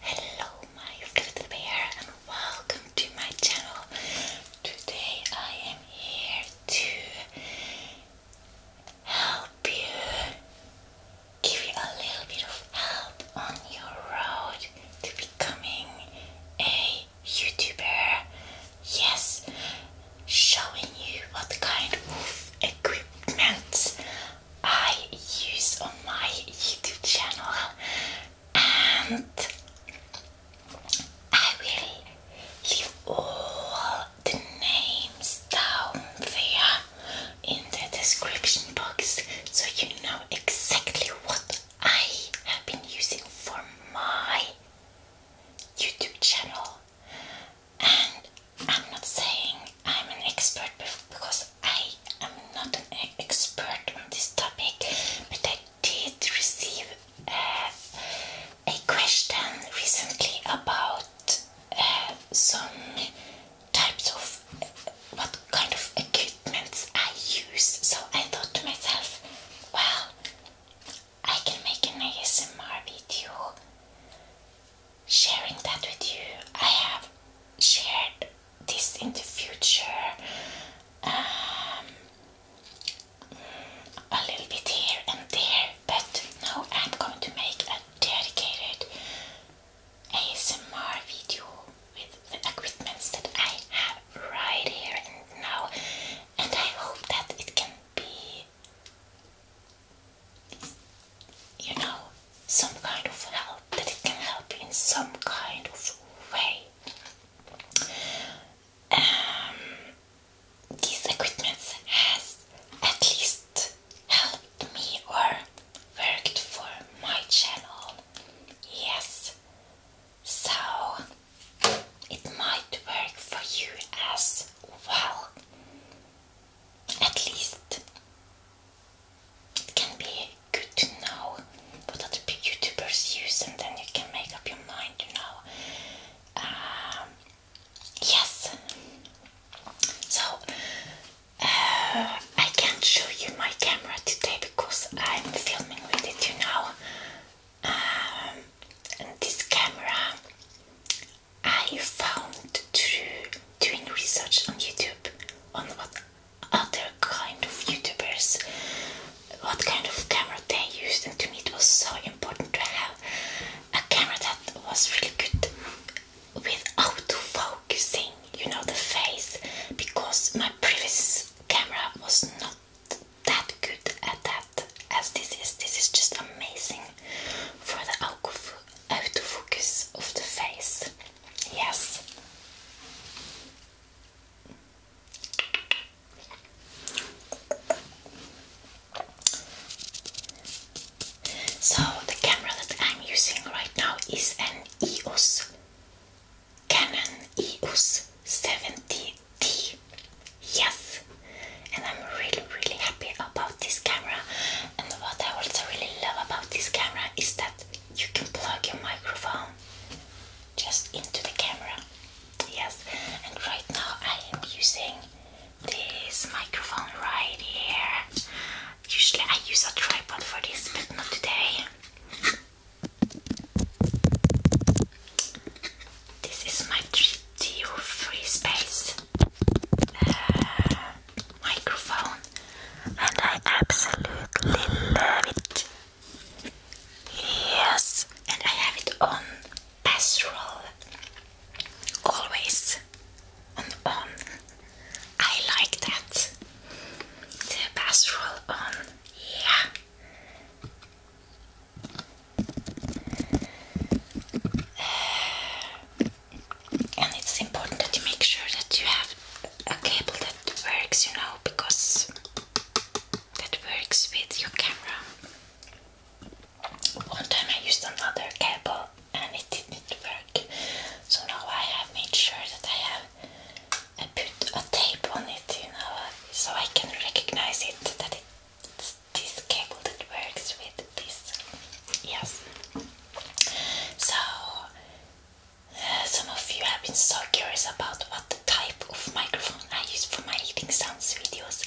Hello my little bear and welcome to my channel. Today I am here to help you, give you a little bit of help on your road to becoming a YouTuber. Yes, showing you what kind of equipment I use on my YouTube channel and I will leave all the names down there in the description box so you know exactly what I have been using for my YouTube channel and I'm not saying I'm an expert because I am not an expert on this topic, but I did receive uh, a question recently about uh, some types of uh, what kind of equipments I use. So I thought to myself, well, I can make an ASMR video sharing that with you. I have shared this in the future um, a little bit here and there, but now I'm going to make a dedicated ASMR video with the equipment that I have right here and now, and I hope that it can be you know, some kind of help, that it can help in some kind of way. Um, these equipments has at least helped me or worked for my channel. Yes. So it might work for you as well at least it can be good to know what other YouTubers use, and then you can make up your mind, you know. Um, yes. So uh, I can't show you my camera today because I'm filming with it, you know. Um, and this camera I found through doing research on YouTube on what other kind of YouTubers, what kind of camera they used, and to me it was so important to have a camera that was really good with focusing. you know, the face, because my previous camera was not that good at that as this is. This is just amazing for the autofocus of the face. Yes. So the camera that I'm using right now is an EOS Canon EOS 70D. Yes and I'm really really happy about this camera and what I also really love about this camera is that you can plug your microphone just into the camera yes and right now I am using this microphone right here usually I use a tripod for this but not today this is my treat do free space uh, microphone, and I absolutely love it. Yes, and I have it on pastoral always on on. I like that. The pastoral on, yeah. And it's important that you make sure that you have a cable that works, you know, because that works with your camera. One time I used another cable and it didn't work, so now I have made sure that I have I put a tape on it, you know, so I can recognize it that it, it's this cable that works with this. Yes. So, uh, some of you have been so curious about what the type of microphone I use for my eating sounds videos.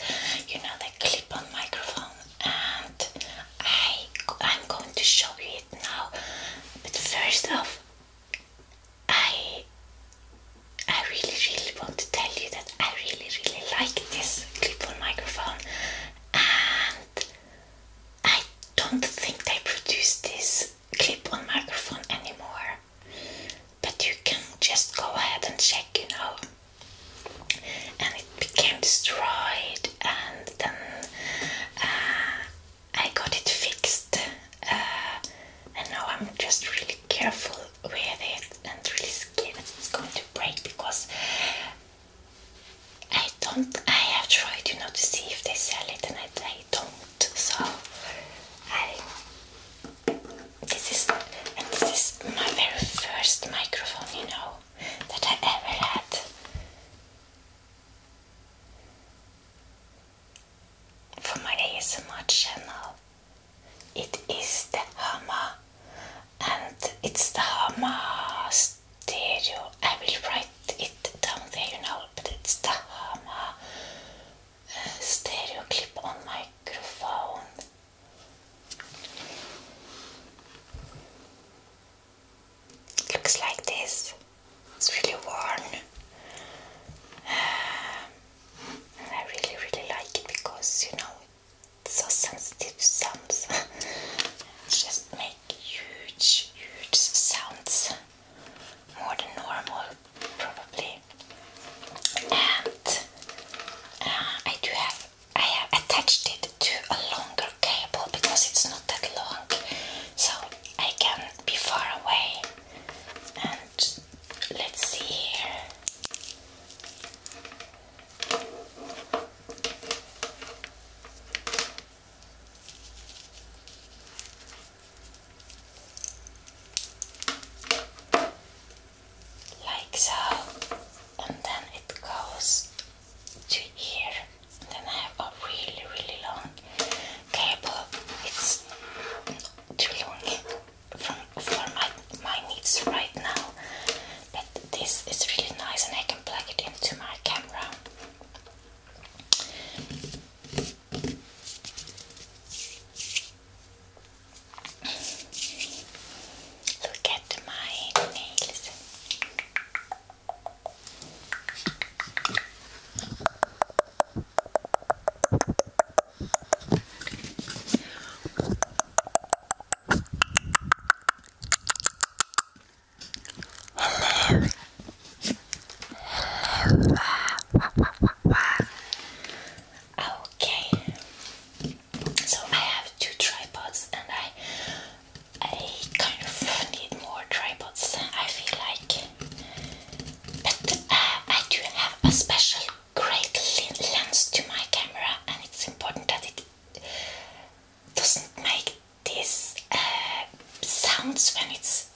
You know, the clip-on microphone, and I I'm going to show you it now. But first off, I I really really want to tell you that I really really like this clip-on microphone and I don't think they produce this clip-on microphone anymore but you can just go ahead and check you know and it became destroyed and then uh, I got it fixed uh, and now I'm just really careful with it and really scared it's going to break because I don't. I have tried, you know, to see if they sell it, and I, I don't. So I. This is and this is my very first microphone, you know, that I ever had. For my ASMR channel, it is the hammer, and it's the Hama stereo. I will write it down there, you know, but it's the Hama uh, stereo clip on microphone. It looks like this. It's really worn. and I really, really like it because you know so sensitive sounds just make huge, huge sounds, more than normal, probably. And uh, I do have, I have attached it to a longer cable because it's not that long, so I can be far away. And let's see here. Like so, and then it goes to here. And then I have a really, really long cable. It's too long from for my, my needs right now. But this is really nice, and I can plug it into my camera. Look at my nails. Hello. Hello. Wah, wah, wah, wah. Okay. So I have two tripods and I I kind of need more tripods. I feel like but uh, I do have a special great lens to my camera and it's important that it doesn't make these uh, sounds when it's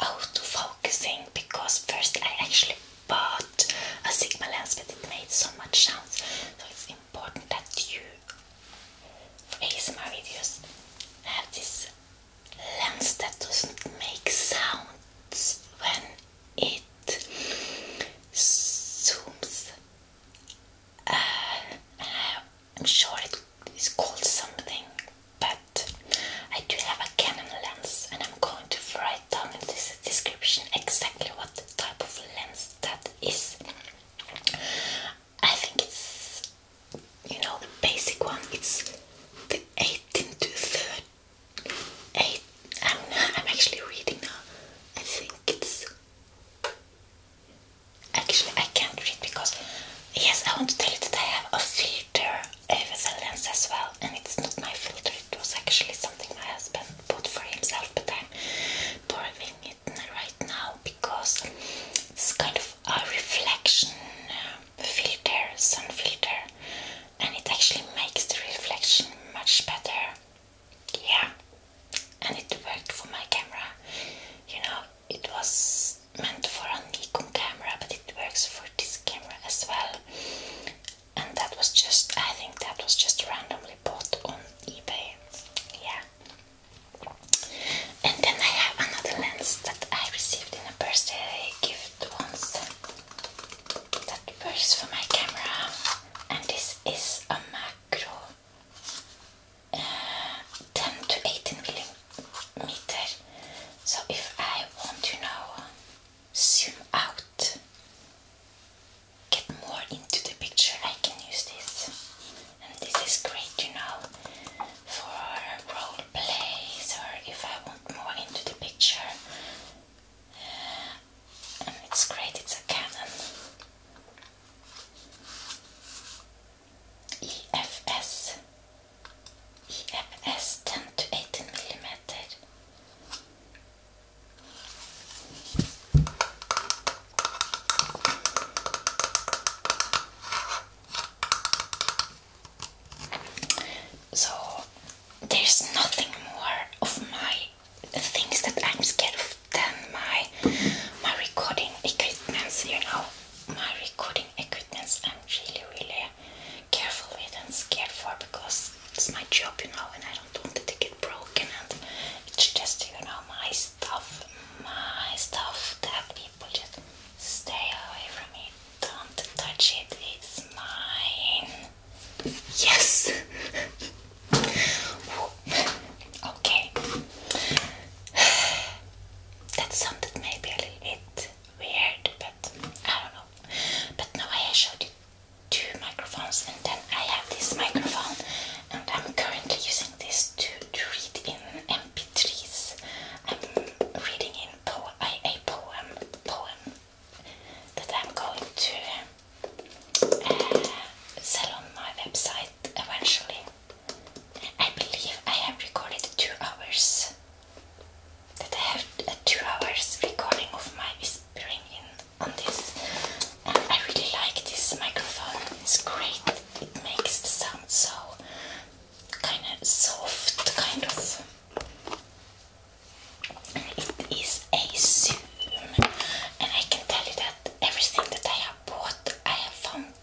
out focusing because first I actually bought a Sigma lens but it made so much sounds so it's important that you for ASMR videos have this lens that doesn't make sounds when it zooms. Uh, I'm sure it is called something, but I do have a Canon lens, and I'm going to write down in this description exactly what type of lens that is. I think it's you know the basic one. It's the 18 to i I'm, I'm actually reading now. I think it's. Actually, I can't read because. Yes, I want to tell you that I have a filter over the lens as well, and it's not my filter, it was actually something my husband bought for himself, but I'm borrowing it right now because it's kind of a reflection uh, filter, sun filter, and it actually makes the reflection much better. Yeah, and it worked for my camera. You know, it was meant for a Nikon camera, but it works for this camera as well. And that was just, I think that was just randomly bought on eBay. Yeah. And then I have another lens that I received in a birthday gift once that works for my camera and this is a macro uh, 10 to 18 millimeter so if I want to you now uh, zoom out get more into the picture I can use this and this is great you know for role plays or if I want more into the picture uh, it's great, it's a Canon EFS EFS 10 to 18 millimeter. So there's nothing more of my things that I'm scared of than my my recording equipments, you know. My recording equipment. I'm really really careful with and scared for because it's my job, you know, and I don't want it to get broken and it's just, you know, my stuff, my stuff that people just stay away from me. Don't touch it, it's mine. Yes. okay. That sounded maybe a little bit weird, but I don't know. But now I showed you two microphones, and then I have this microphone, and I'm currently using this to, read in MP3s. reading in po a, poem that I'm going to uh, sell on my website eventually. I believe I have recorded two hours. That I have a uh, two hours recording of my whispering in on this. I really like this microphone. It's great. It makes the sound so kind of soft, kind of. It is a Zoom, and I can tell you that everything that I have bought, I have found,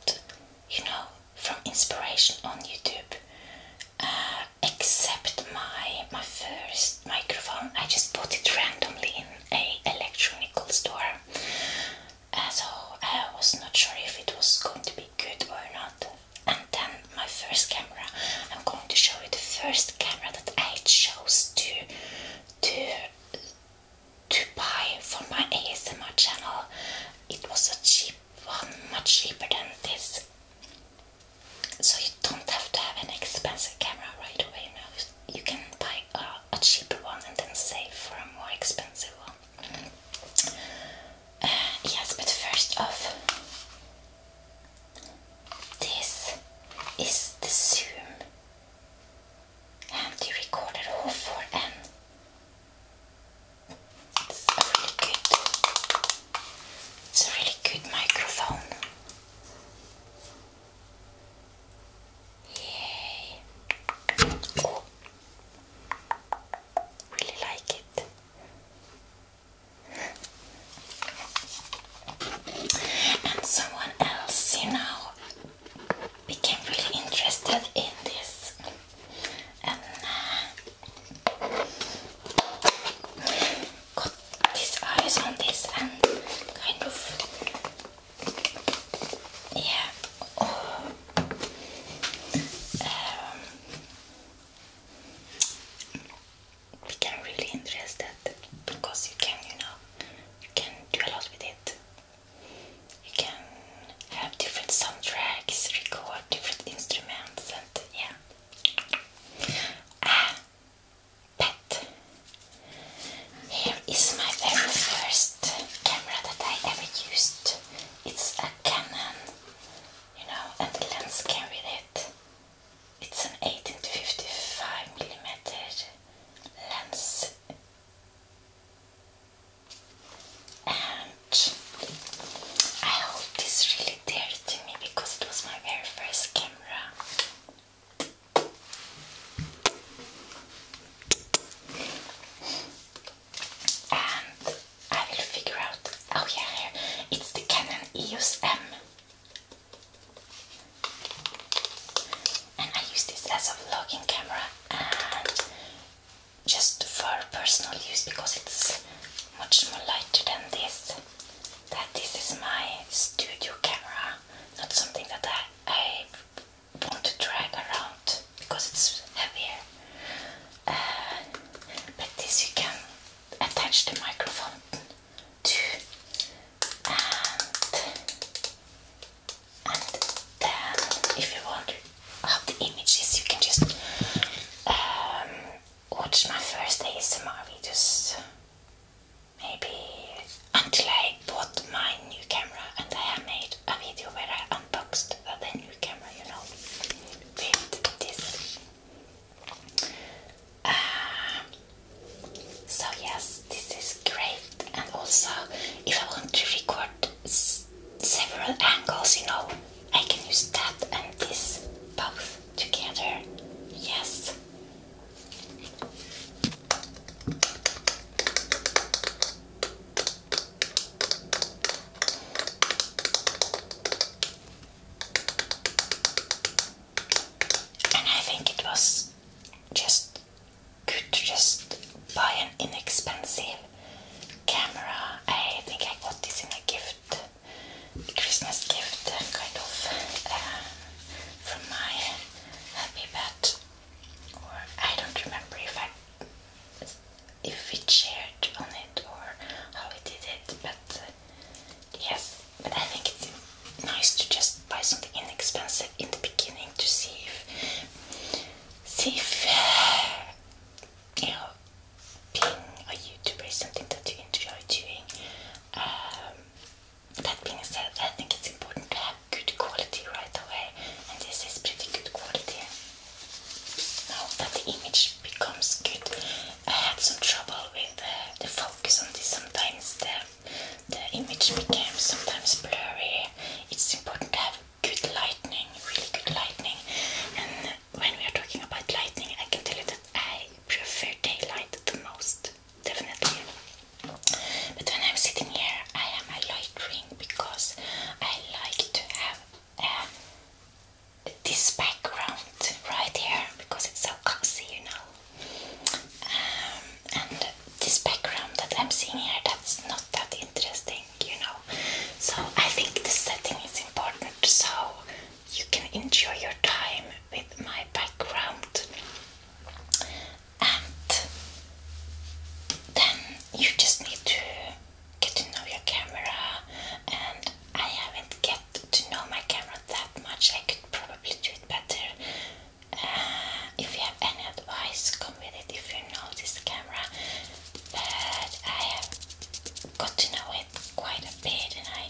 you know, from inspiration on YouTube. Uh, except my my first microphone, I just bought it randomly in a electronic store. Uh, so I was not sure if it was going to be good or not and then my first camera. I'm going to show you the first camera that I chose to to to buy for my ASMR channel. It was a cheap one, much cheaper than this. So you don't have to have an expensive camera right away now. You can buy a, cheaper one and then save for a more expensive one. Uh, yes, but first off, this is the Zoom, and the recorded for N. It's a really good. It's a really good microphone. Yay! Really like it. And someone else, you know, became really interested in this. And uh, got his eyes on this and kind of, yeah. Oh, um, become really interested because you can, you know, you can do a lot with it. You can have different soundtracks, record different instruments, and yeah. Ah, but here is my very first camera that I ever used. It's a Canon, you know, and the lens can read it's an 18 to 55 millimeter lens, and I hope this really dear me because it was my very first camera. I will figure out. Oh yeah, here it's the Canon EOS M, and I use this as a vlogging camera and just for personal use because it's much more lighter than this. That this is my studio camera, not something that I want to drag around because it's heavier. Uh, but this you can attach the microphone to and, then if you want how the images you can just um, watch my first ASMR videos maybe until I bought my new camera and I have made a video where I unboxed the new camera you know with this Ah. so yes, this is great, and also if I want to record several angles, you know, I can use that and this both together. Yes. And I think it was just good to just buy an inexpensive camera. I think I got this in a gift, Christmas gift, kind of, um, from my happy pet. Or I don't remember if I if we shared on it or how we did it, but uh, yes, but I think it's nice to just buy something inexpensive in the beginning to see if see if uh, you know being a YouTuber is something that you enjoy doing. Um, that being said, I think it's important to have good quality right away, and this is pretty good quality now that the image becomes good. I had some trouble with uh, the focus on this. Sometimes the, the image becomes sometimes blurry. It's important to have good lighting, really good lighting. And when we are talking about lighting, I can tell you that I prefer daylight the most, definitely. But when I'm sitting here, I am a light ring because I like to have a um, this background right here because it's so cozy, you know. Um, and this background that I'm seeing here, that's not that interesting, you know. So I think the setting is important so you can enjoy your time with my background. And then you just need to get to know your camera and I haven't get to know my camera that much. I could probably do it better. Uh, if you have any advice, come with it if you know this camera. But I have got to know it quite a bit and I,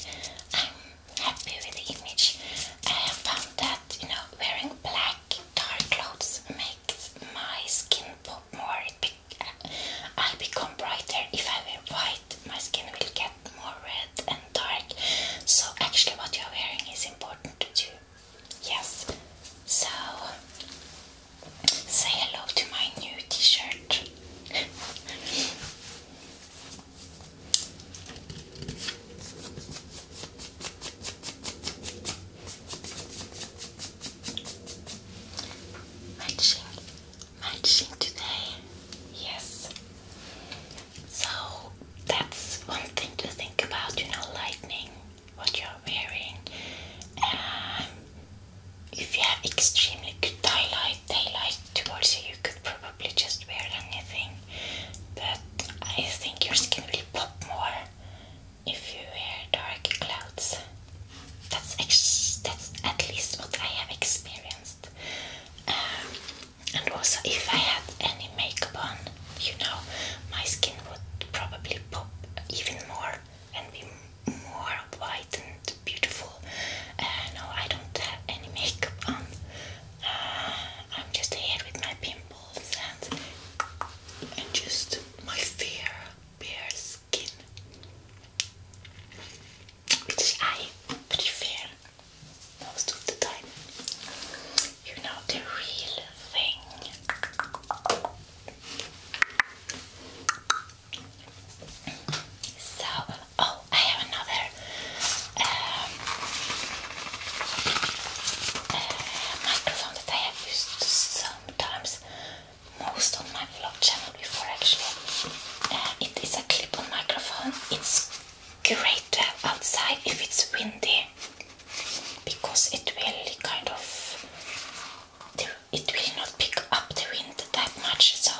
I'm happy with the image. I have found that, you know, wearing black dark clothes makes my skin pop more it will uh, become brighter. If I wear white, my skin will get more red and dark. So actually what you're wearing is important to you. Yes. So say hello to my new t-shirt. Matching, matching today. Yes. So that's one thing to think about, you know, lighting, what you're wearing. Um, if you have extremely good daylight, daylight towards you, you could probably just wear anything. But I think your skin will pop more if you wear dark clouds. That's at least what I have experienced. Um, and also, if I had any makeup on, you know, my skin would probably pop even more and be more white and beautiful. Uh, no, I don't have any makeup on. Uh, I'm just here with my pimples and just my fair bare skin which I prefer most of the time. You know, the real thing. So, oh, I have another um, uh, microphone that I have used sometimes most on my vlog channel before actually. Uh, it is a clip-on microphone. It's great to have outside if it's windy because it will kind of it will not pick up the wind that much so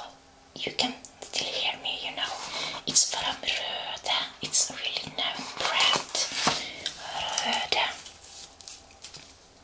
you can still hear me you know it's from Röda it's a really known brand Röda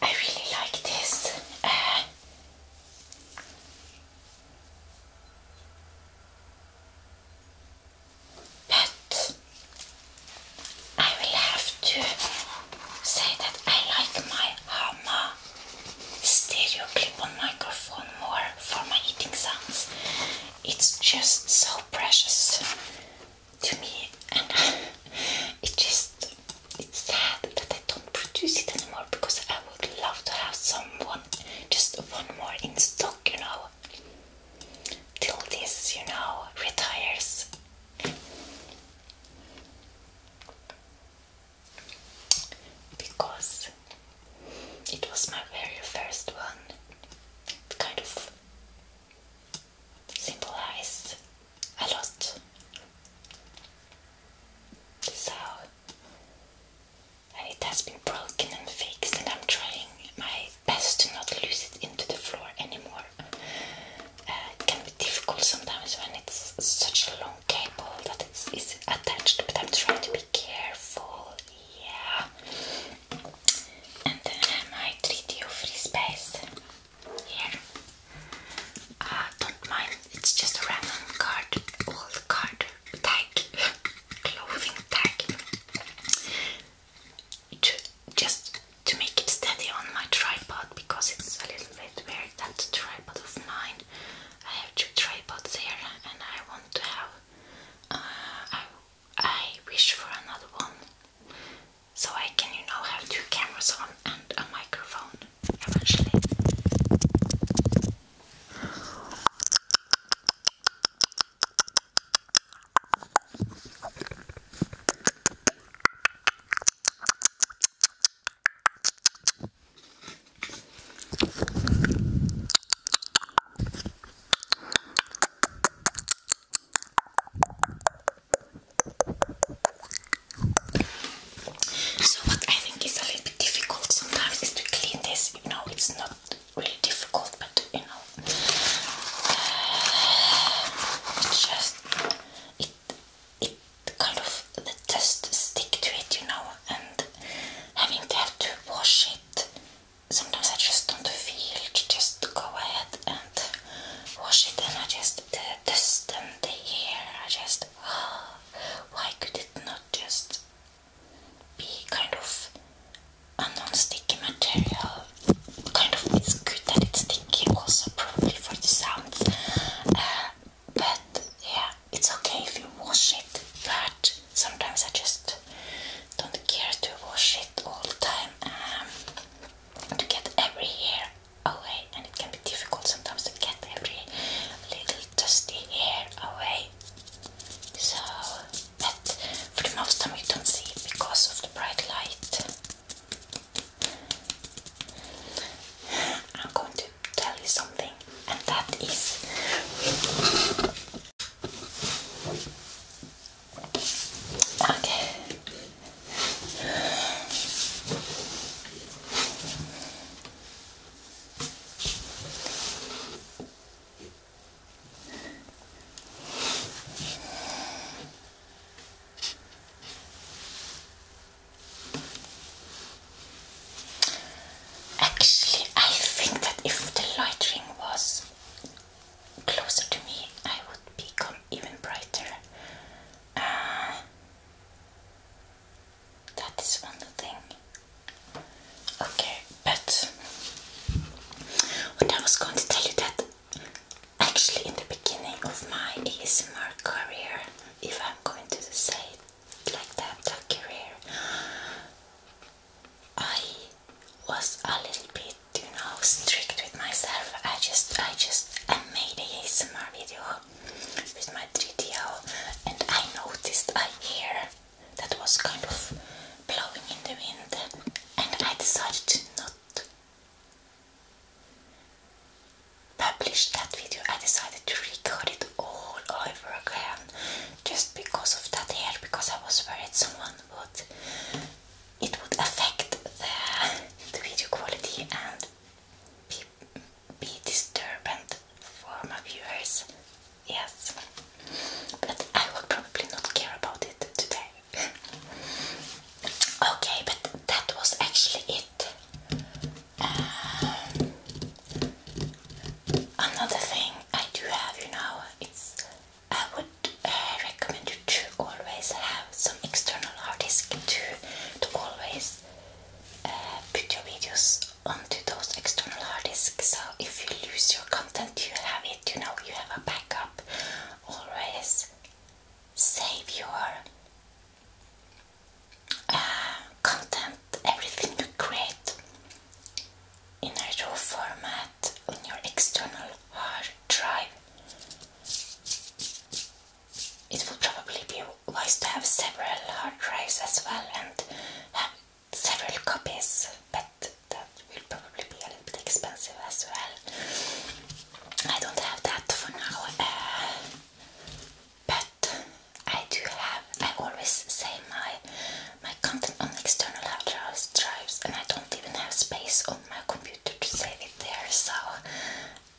I really like this. Uh, but I will have to say that I like my Hama stereo clip on microphone more for my eating sounds. It's just so precious to me, and uh, it just it's sad that I don't produce it anymore because I would love to have someone just one more in stock, you know, till this, you know, retires. Because it was my very first one. It kind of symbolized a lot. So, and it has been broken and fixed, and I'm trying my best to not lose it into the floor anymore. Uh, it can be difficult sometimes when it's such a long cable that it's, attached, but I'm trying to be careful. Yeah. And then my treat you free space here. Ah, don't mind, it's just a random card, old card tag, clothing tag. It, just to make it steady on my tripod because it's a little bit weird that tripod of mine. I have two tripods here and I want to have. Uh, I wish for another one so I can, you know, have two cameras on and a microphone eventually. So what I think is a little bit difficult sometimes is to clean this. You know, it's not really difficult, but you know, uh, it's just it it kind of the dust stick to it, you know, and having to have to wash it. Sometimes I just don't feel to just go ahead and wash it, and I just dust and the hair. I just oh, why could it not just be kind of a non-sticky material? Kind of it's good that it's sticky, also probably for the sounds. Uh, but yeah, it's okay if you wash it, but sometimes I just don't care to wash it all the time. Um, to get every hair away, and it can be difficult sometimes to get every little dusty hair away. So, but for the most time, you don't see it because of the bright light. I'm going to tell you something, and that is Okay. Actually, I think that if the lighting was closer to me, I would become even brighter. Uh, that is one thing. Okay, but I was going to tell you that actually in the beginning of my ASMR career, if I'm going to say it like that, that career, I was a little bit, you know, strict with myself. I just, I just, I made a ASMR video with my 3DO, and I noticed a hair that was kind of blowing in the wind, and I decided to not publish that video. I decided to record it all over again, just because of that hair, because I was worried someone would it would affect the, video quality and be, be disturbant for my viewers. Yes, but I will probably not care about it today. okay, but that was actually it. Um, another thing I do have, you know, it's I would uh, recommend you to always have some external hard disk to, to always uh, put your videos onto those external hard disks so if you lose your content you have it, you know, you have a backup always save your uh, content, everything you create in a raw format on your external hard drive. It will probably be wise to have several hard drives as well and have several copies, but that will probably be a little bit expensive as well. I don't have that for now, uh, but I do have, I always say my my content on external hard drives and I don't even have space on my computer to save it there so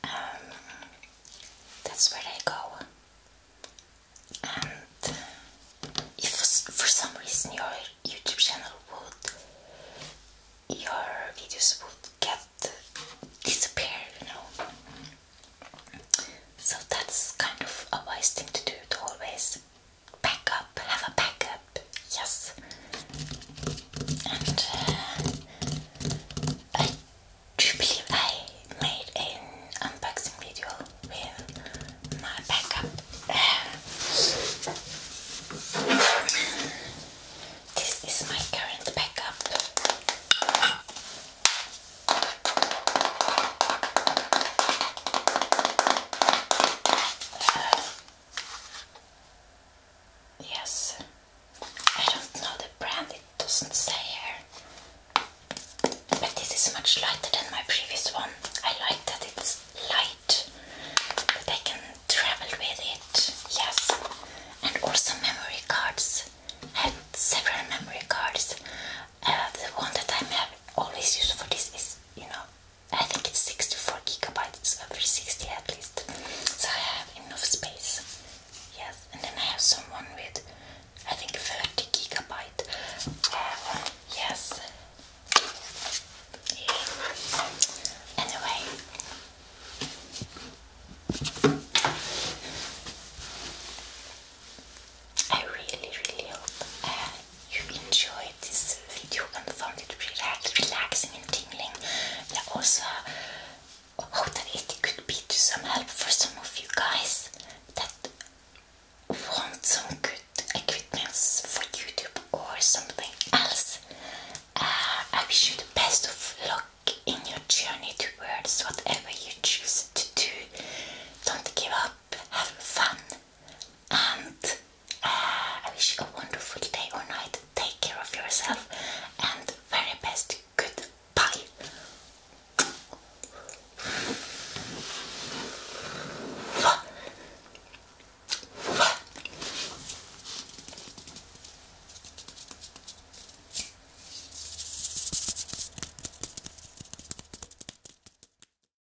um, that's where I go and if for some reason your YouTube channel would your videos would get disappear you know so that's kind of a wise thing to do to always backup, have a backup, yes. And uh, I made an unboxing video with my backup. Uh, this is my current backup. Uh, Yes, I don't know the brand, it doesn't say here. But this is much lighter than my previous one. I like that it's light, that I can travel with it. Yes, and also memory cards. I have several memory cards. Uh, the one that I have always used for this is, you know, I think it's 64 gigabytes over 60 at least. So I have enough space. Yes, and then I have someone with I think 30 gigabyte. Uh, yes. Anyway. I really, really hope uh, you enjoyed this video and found it relaxing and tingling. I also hope that it could be some help for some of you guys that want some good equipment for YouTube or something else. Uh, I wish you the best of luck in your journey towards whatever you choose to do. Don't give up, have fun, and Ah, I wish you a wonderful day or night. Take care of yourself and very best goodbye.